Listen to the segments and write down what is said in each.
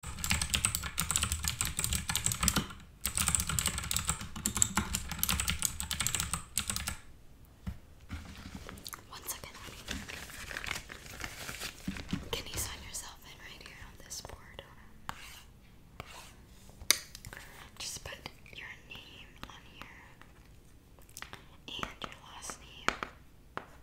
One second, honey. Can you sign yourself in right here on this board? Just put your name on here and your last name.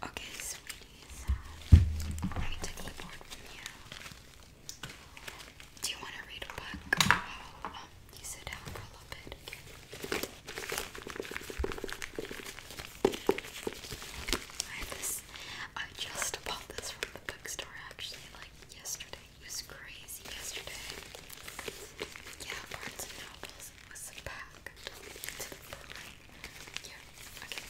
Okay, sweeties, I took the board from you. Do you want to read a book? Oh, um, you sit down for a little bit. I just bought this from the bookstore actually, like yesterday. It was crazy yesterday. Yeah, Barnes and Nobles was packed to Yeah, okay.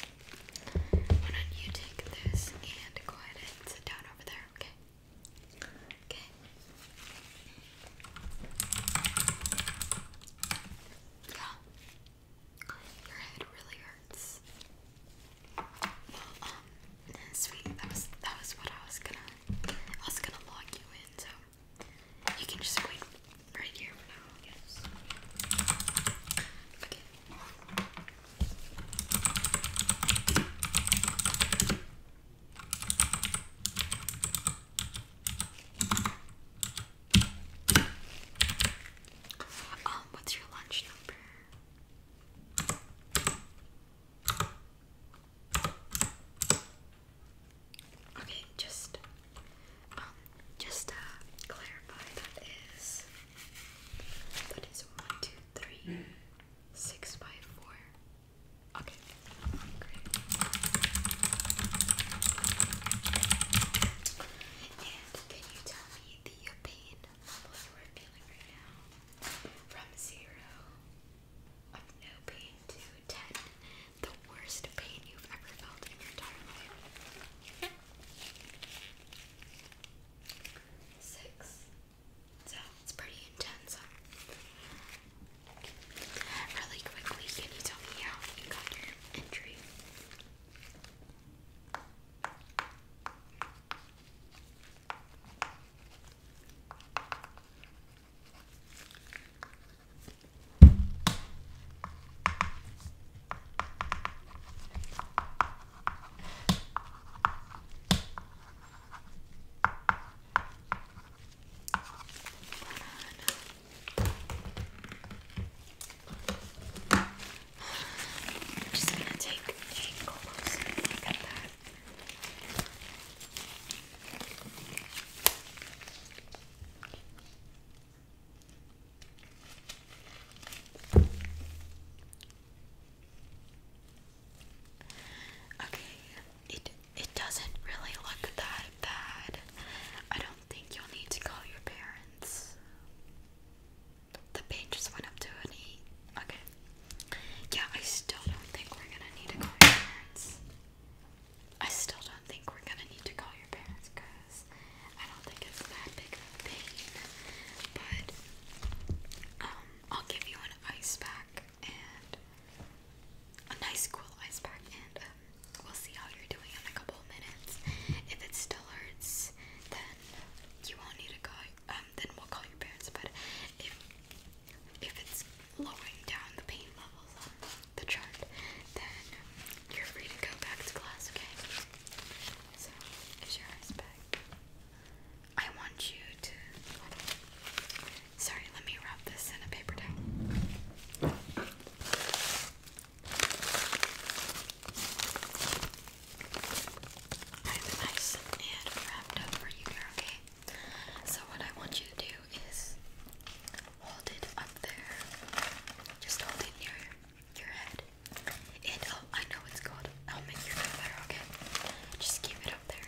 Why don't you take this and go ahead and sit down over there, okay? Okay. Yeah. Your head really hurts. Well, um, sweet, that was that was what I was gonna I was gonna log you in, so you can just wait right here for now, I guess. Okay. Okay. Um, what's your lunch number? Okay, just um, just clarify, that is that is one, two, three, six Okay can you tell me the pain level you are feeling right now? From zero of no pain to ten, the worst pain you've ever felt in your entire life. Six. So it's pretty intense. Really quickly, can you tell me how you got your entry? I'm just gonna take a closer look at that. Okay, it it doesn't really look that bad. I don't think you'll need to call your parents. The page just went up to an eight. Okay. Yeah, I still don't think we're gonna need to call your parents. I still don't think we're gonna need to call your parents because I don't think it's that big of a pain. But um, I'll give you an ice pack and a nice cool ice pack and um, we'll see how you're doing in a couple minutes. If it still hurts, then you won't need to go. Um, then we'll call your parents. But if if it's lowering down the pain levels the chart, then you're free to go back to class. Okay. So is your ice pack? I want you to Sorry, let me wrap this in a paper towel. I have it nice and wrapped up for you here, okay? So what I want you to do is hold it up there. Just hold it near your head. And oh, I know it's cold. I'll make your head better, okay? Just keep it up there.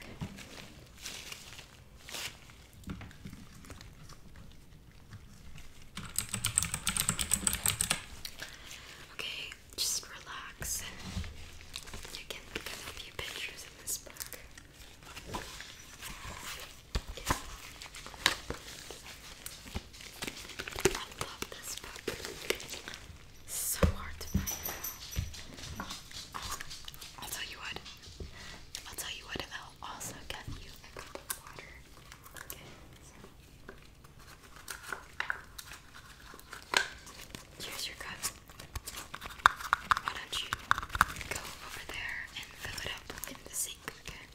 Okay, just relax. You can look a few pictures in this book. I love this book. so hard to find I'll tell you what. I'll tell you what. and I'll also get you a cup of water. Okay. your cup. Why don't you go over there and fill it up in the sink? okay.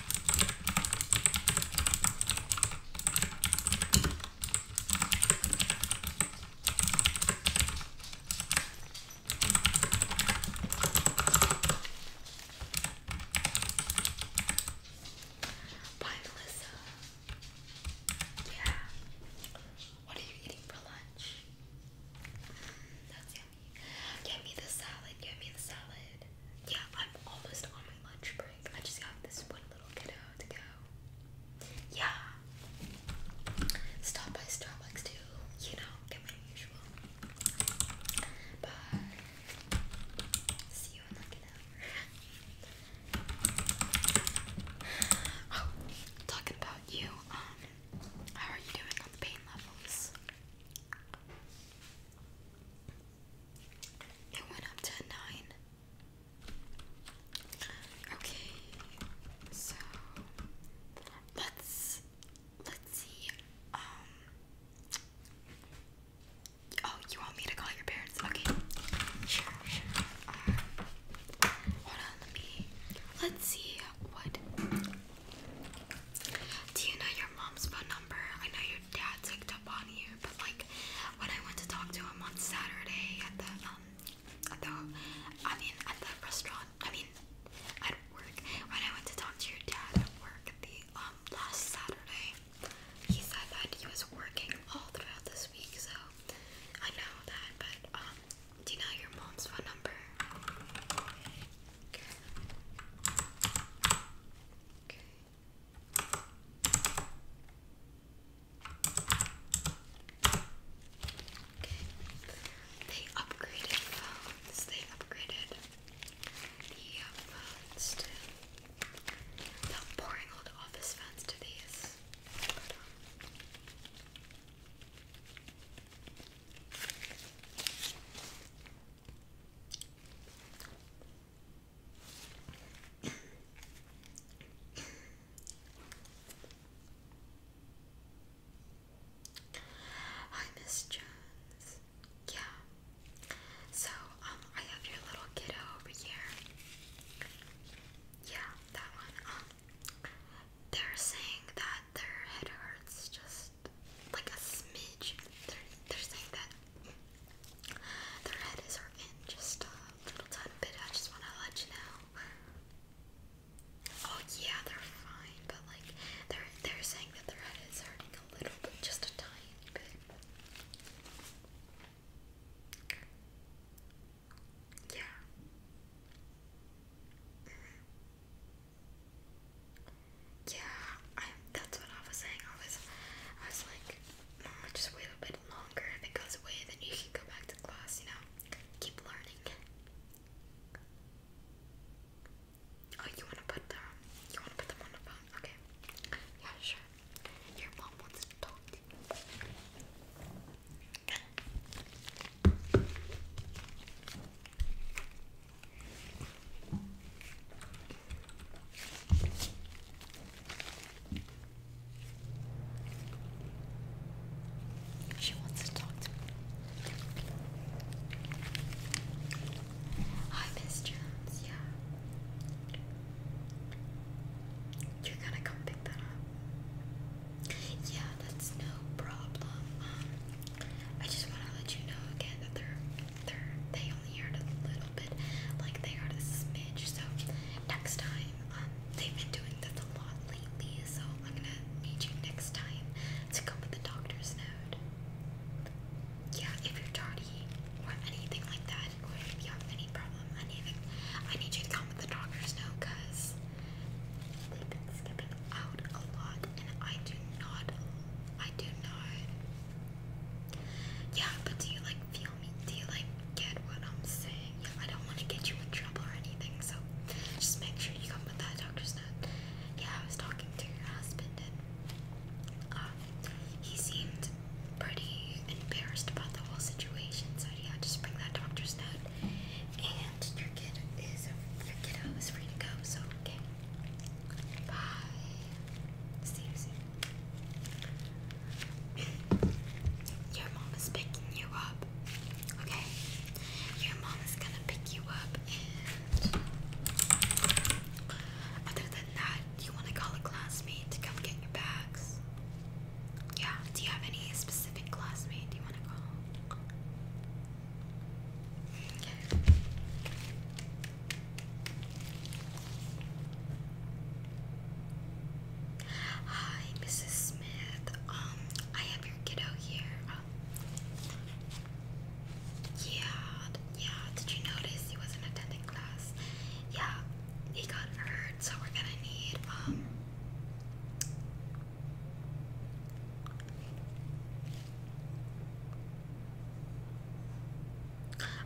Bye, Melissa. Yeah. What are you eating for lunch? Get me the salad, get me the salad. Yeah, I'm almost on my lunch break. I just got this one little kiddo to go. Yeah. Stop by Starbucks too, you know, get my usual. Bye. See you in like an oh, talking about you, um, how are you doing on the pain levels? It went up to nine. Okay, so let's let's see. Um. Oh, you want me to call your parents? Okay, sure, sure. Uh, hold on, let me. Let's see what do you know your mom's phone number? I know your dad picked up on you, but like when I went to talk to him on Saturday at the um at the I mean at the restaurant, I mean at work. When I went to talk to your dad at work the um, last Saturday, he said that he was working all throughout this week, so I know that, but um do you know your mom's phone number? Okay. They upgraded phones. They upgraded the phones to the boring old office phones to these. Hi, Miss Jones. Yeah. So, um, I have your little kiddo over here. Yeah, that one. Um, they're saying that their head hurts just like a smidge. They're, they're saying that their head is hurting just a little tiny bit. I just want to let you know. Oh yeah, they're fine, but like they're they're saying that their head is hurting a little bit, just a tiny bit. Yeah. Mm-hmm. Yeah, that's what I was saying. I was, I was like, Mom, just wait a bit longer. If it goes away, then you can go back to class. You know, keep learning. Oh, you wanna put them? You wanna put them on the phone? Okay. Yeah, sure. Your mom wants to talk to you. She wants to talk to me. Hi, Miss Jones. Yeah. You're gonna come pick that up. Yeah, that's no problem. Um, I just want to let you know again that they're they only heard a little bit, like they heard a smidge. So next time, um, they've been doing this a lot lately. So I'm gonna need you next time to go with the doctor's note. Yeah, if you're tardy or anything like that, or if you have any problem, anything, I need you to come with the doctor's note, cause They've been skipping out a lot, and I do not. I do not. Yeah, but do you like feel me? Do you like get what I'm saying? Yeah, I don't want to get you in trouble or anything, so just make sure you come with that doctor's note. Yeah, I was talking to your husband, and um, he seemed pretty embarrassed about the whole situation. So yeah, just bring that doctor's note. And your kid is your kiddo is free to go, so okay. Bye. See you soon. Your mom is picking you up. Okay? Your mom is gonna pick you up and other than that, you wanna call a classmate to come get your bags. Yeah. Do you have any specific classmate you want to call? Hi, Mrs. Smith. Um, I have your kiddo here. Yeah, yeah. Did you notice he wasn't attending class? Yeah, he got hurt so we're gonna need um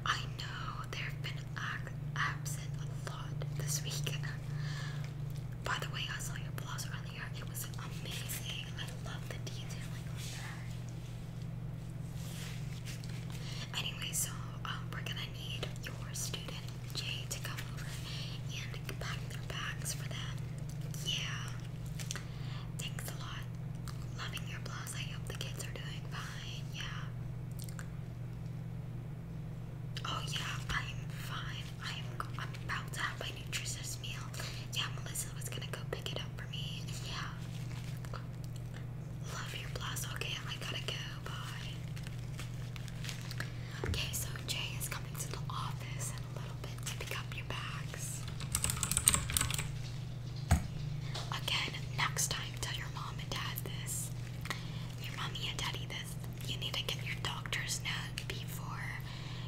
I know there have been absent a lot this week. By the way, I saw your blouse earlier. It was amazing. I love the detailing on that. Anyway, so um, we're gonna need your student Jay to come over and pack their bags for them. Yeah. Thanks a lot. Loving your blouse. I hope the kids are doing fine. Yeah. Oh yeah, I'm fine. I'm about to have my nutritious meal. Yeah, Melissa was gonna go pick it up for me. Yeah. Love your blouse. Okay, I gotta go bye. Okay, so Jay is coming to the office in a little bit to pick up your bags. Again, next time tell your mom and dad this. Your mommy and daddy this. You need to get your doctor's note before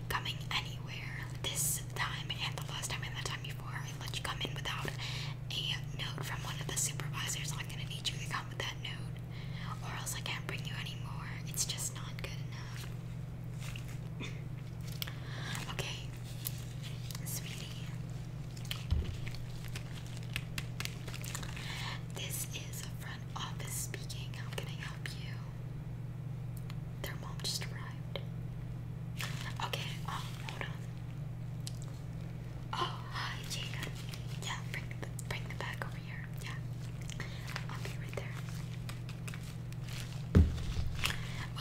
coming anywhere. This time and the last time and the time before I let you come in without a note from one of the supervisors. I'm gonna need you to come with that note or else I can't bring you anymore. It's just not good enough. okay, sweetie. This is a front office speaking. How can I help you? Their mom just arrived. Okay, um, hold on. Oh, hi, Jacob. Yeah, bring the, bring the bag over here. Yeah, I'll be right there.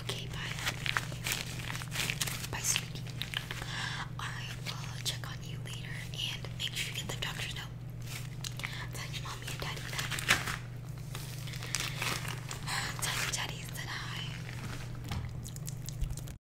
Okay, bye. Bye, sweetie. I will check on you later and make sure you get the doctor's note. Tell mommy and daddy that. Tell your that I